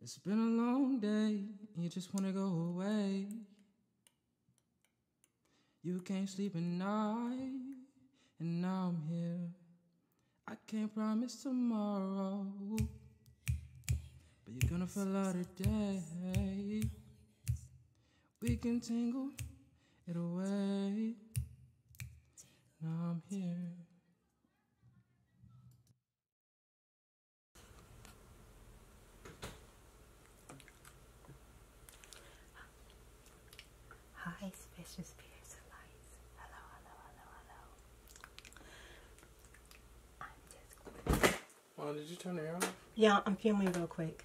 It's been a long day, you just wanna go away. You can't sleep at night, and now I'm here. I can't promise tomorrow, but you're gonna feel out today. We can tingle it away. Now I'm here. Hi, special spirits allies. Hello, hello, hello, hello. i did you turn it off? Yeah, I'm filming real quick.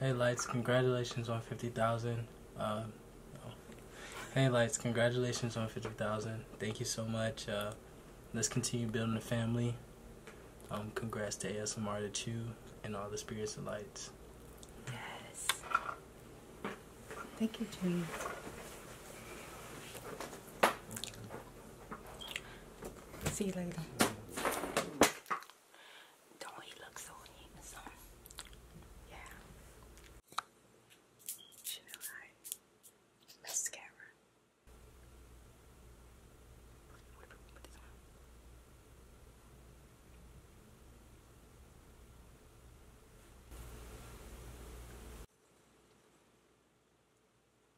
Hey Lights, congratulations on 50,000. Uh, hey Lights, congratulations on 50,000. Thank you so much. Uh, let's continue building the family. Um, congrats to ASMR to Chew and all the spirits and lights. Yes. Thank you, Chewy. See you later. Don't he look so handsome? Yeah. Chanel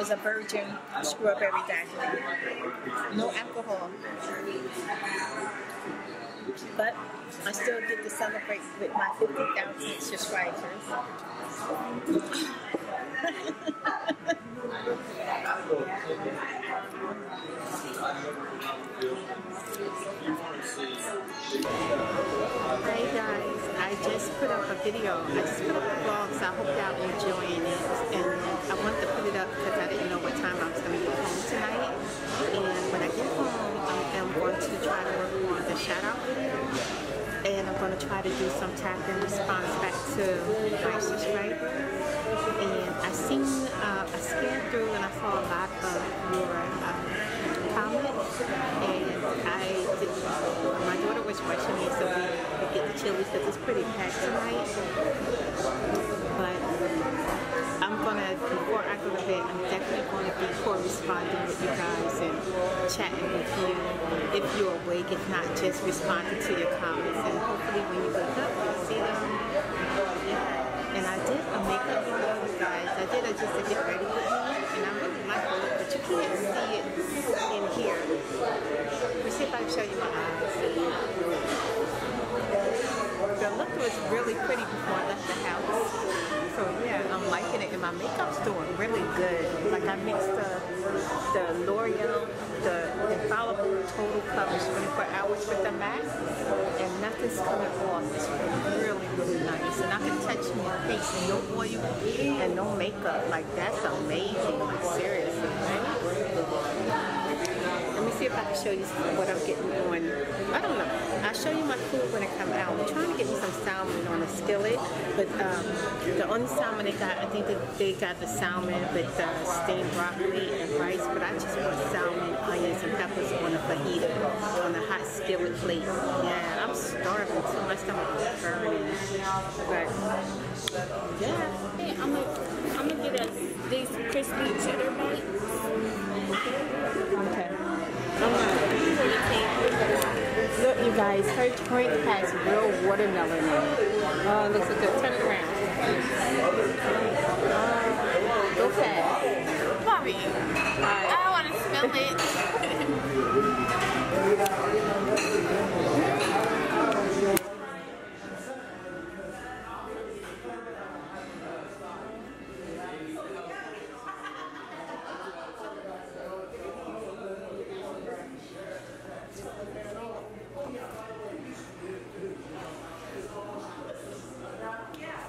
It's a virgin screw up every day. No alcohol. But I still get to celebrate with my 50,000 subscribers. Hi guys, I just put up a video. I just put up a vlog, so I hope y'all enjoying it. And I wanted to put it up because I didn't know what time I was going to get home tonight. And when I get home, I am going to try to work on the shout And I'm going to try to do some tap and response back to my right. And I seen, uh, I scanned through and I saw a lot of Europe. Um, and I my daughter was rushing me so we get the chilies because it's pretty packed tonight. But I'm gonna, before I go to bed, I'm definitely gonna be corresponding with you guys and chatting with you if you're awake, if not just responding to your comments. And hopefully when you wake up, you'll see them. And I did is a makeup video, guys. I did it just to get ready with me, and I'm really my look, but you can't see it in here. Let me see if I can show you my eyes. The look was really pretty before I left the house. So yeah, I'm liking it, and my makeup's doing really good. Like I mixed the the L'Oreal, the Infallible Total Coverage 24 Hours with the MAC and nothing's coming off. It's really, really nice. And I can touch my face and no oil and no makeup. Like, that's amazing. Like, seriously. Let me see if I can show you what I'm getting on. I don't know. I'll show you my food when it comes out. I'm trying to get some salmon on a skillet, but um, the only salmon they got, I think they got the salmon with steamed broccoli and rice, but I just want salmon, onions, and peppers on a fajita, on a hot not spill it, Yeah, I'm starving too. My stomach is burning. yeah, hey, I'm gonna get these crispy cheddar bites. Okay. Um, look, you guys, her drink has real watermelon in it. Oh, looks good. turn around. Okay, go happy. I want to smell it. yeah.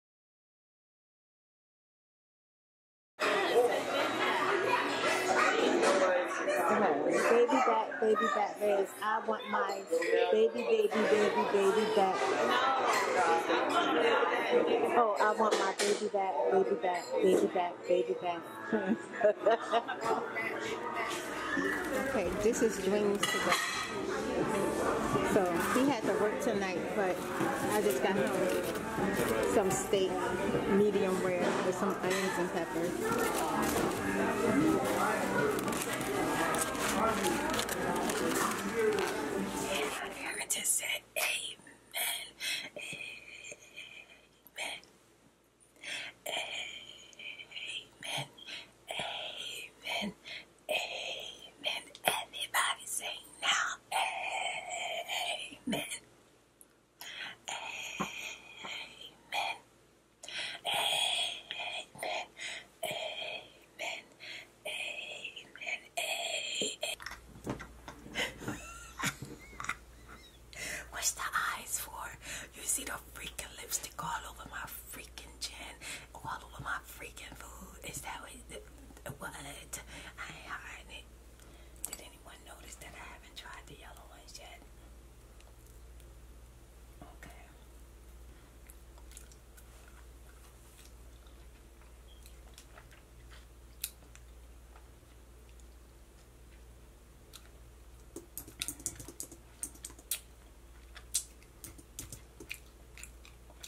Baby back, baby back legs. I want my baby, baby, baby, baby back. Oh, I want my baby back, baby back, baby back, baby back. okay, this is dreams today. So he had to work tonight, but I just got home some steak, medium rare, with some onions and peppers. I can just say amen. Amen. Amen. Amen. Amen. Everybody say now. Amen. Amen. Amen. Amen. Amen. Amen. What's the eyes for? You see the freaking lipstick all over my freaking chin, all over my freaking food. Is that what? what? I ain't hiding it. Did anyone notice that I haven't tried the yellow ones yet? Okay.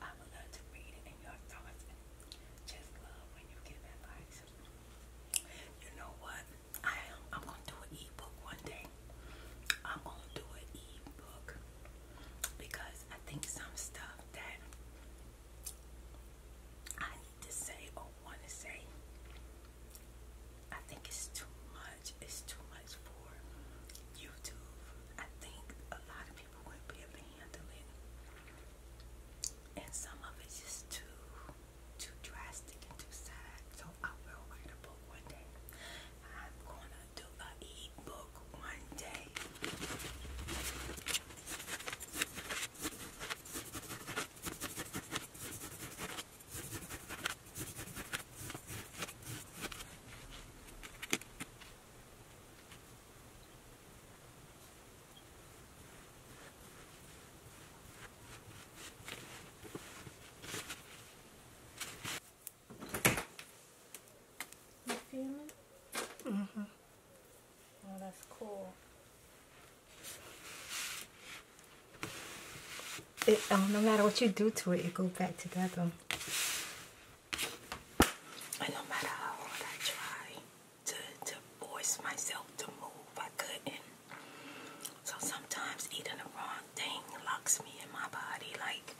I would love to read it in your thoughts. Just love when you give advice. You know what? I am I'm gonna do an ebook one day. I'm gonna do an ebook because I think some stuff that I need to say or want to say. I think it's too much. It's too much for YouTube. I think a lot of people wouldn't be able to handle And some of it's just too too drastic and too sad. So I will write a book one day. I'm gonna do a e-book one day. Mm-hmm. Oh, that's cool. It, um, no matter what you do to it, it go back together. And no matter how hard I tried to, to force myself to move, I couldn't. So sometimes eating the wrong thing locks me in my body. Like,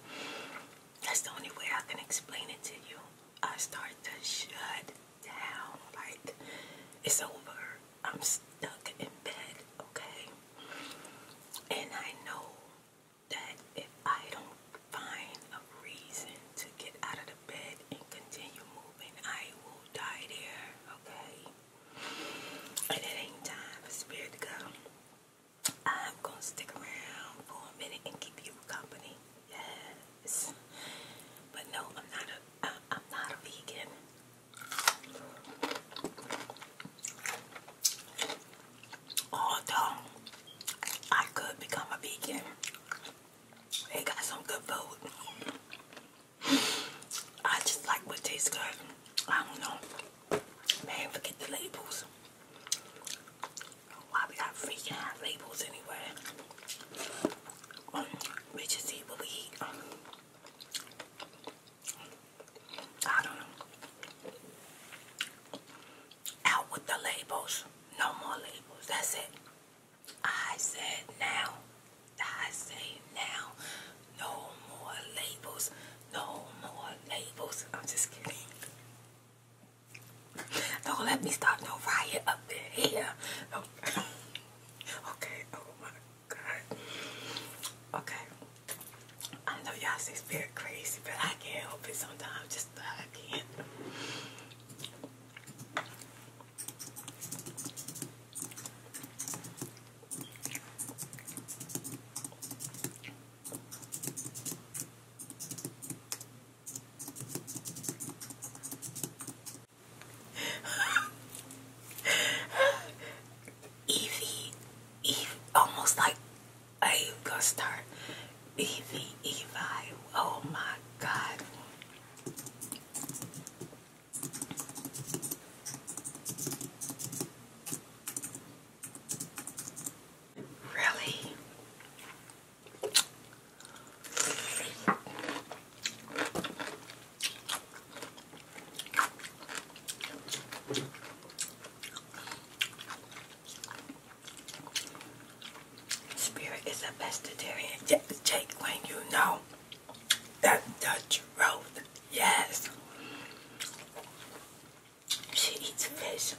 that's the only way I can explain it to you. I start to shut down. Like, it's over. I'm stuck in bed, okay? And I know that if I don't find a reason to get out of the bed and continue moving, I will die there, okay? And it ain't time for spirit to go. I'm gonna stick around for a minute and keep you company. Yes. But no, I'm not a am not a vegan although I could become a vegan, they got some good food. I just like what tastes good. I don't know. Man, forget the labels. Why we got freaking labels anyway? We eat what we eat. I Out with the labels. No more labels. That's it. I said now. I say now. No more labels. No more labels. I'm just kidding. Don't let me start no riot up in here. okay. Oh my God. Okay. I know y'all say spirit crazy, but I can't help it sometimes. Just I can't. Evie, Evie, almost like I'm gonna start Evie Evi. Oh my god. Really? Spirit is a vegetarian Jake when you know that the truth. Yes. She eats fish.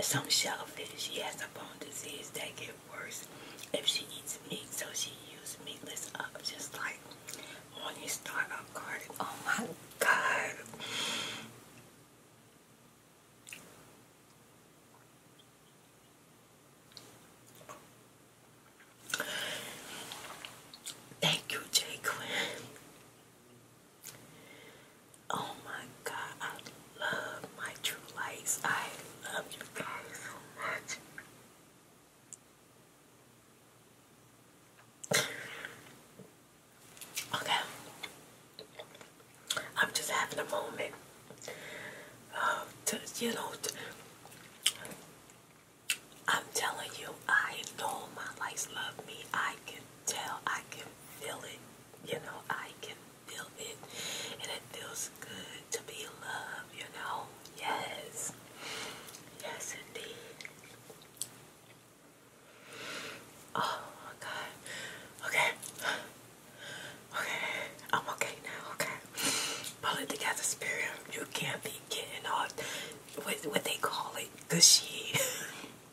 Some shellfish. She has a bone disease that gets worse if she eats meat, so she uses meatless up just like when you start a garden. Oh my god. Thank you, J. Quinn. Oh my God, I love my true lights. I love you guys so much. Okay. I'm just having a moment. Uh, you know, I'm telling you, I know my lights love me. I can tell. I can feel it. You know, I can feel it. And it feels good to be loved, you know. Yes. Yes, indeed. Oh my god. Okay. Okay. I'm okay now. Okay. Pull it together, spirit. You can't be getting all what, what they call it gushy.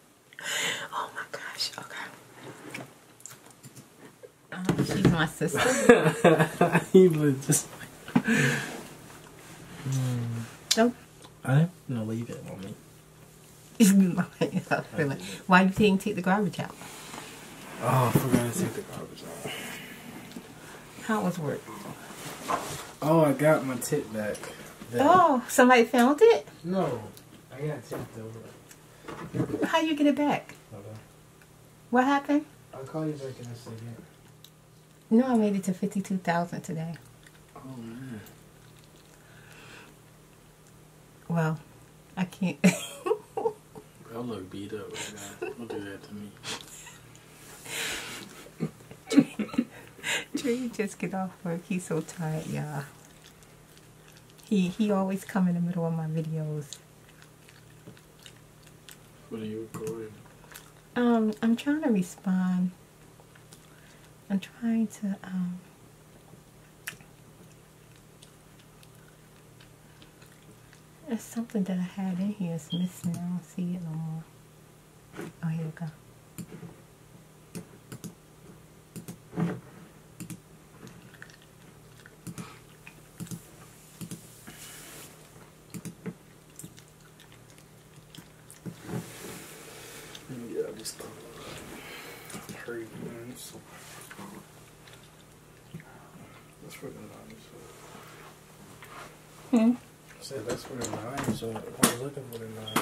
oh my gosh. Okay. Um, she's my sister. he was just. Mm. Don't I'm gonna leave it on me. why do you didn't take the garbage out? Oh, I forgot to take the garbage out. How was work? Oh, I got my tip back. Oh, somebody found it? No, I got tipped over. How you get it back? What happened? I'll call you back and I'll a second. No, I made it to 52,000 today. Oh, man. Well, I can't. I look beat up right now. Don't do that to me. Tree, Tree just get off work. He's so tired, y'all. He he always come in the middle of my videos. What are you recording? Um, I'm trying to respond I'm trying to um, it's something that I had in here is missing. I don't see it no more. Oh, here we go. Yeah, just hurry minutes. That's where the knives are. Hmm? I said that's where the knives are. I was looking for the knives.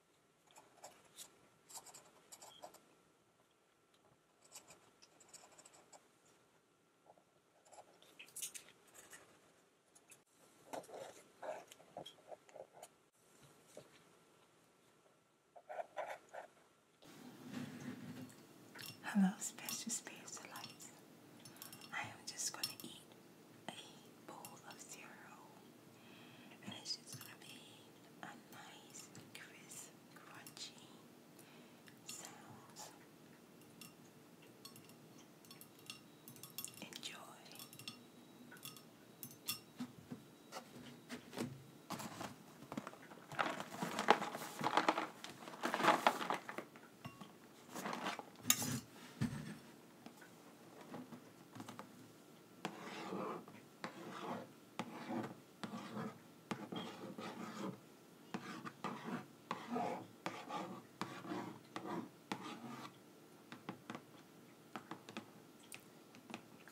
Hello, special space delights. I am just going to eat a bowl of cereal, and it's just gonna be a nice, crisp, crunchy sound. Enjoy.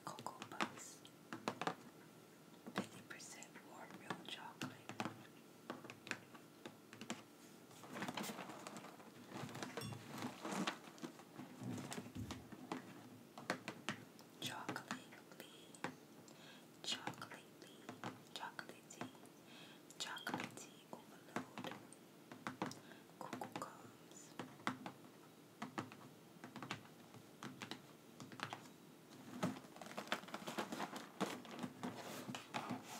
Cocoa Puffs, 50% warm milk chocolate. Chocolate lean, chocolate lean, overload, cuckoo comes.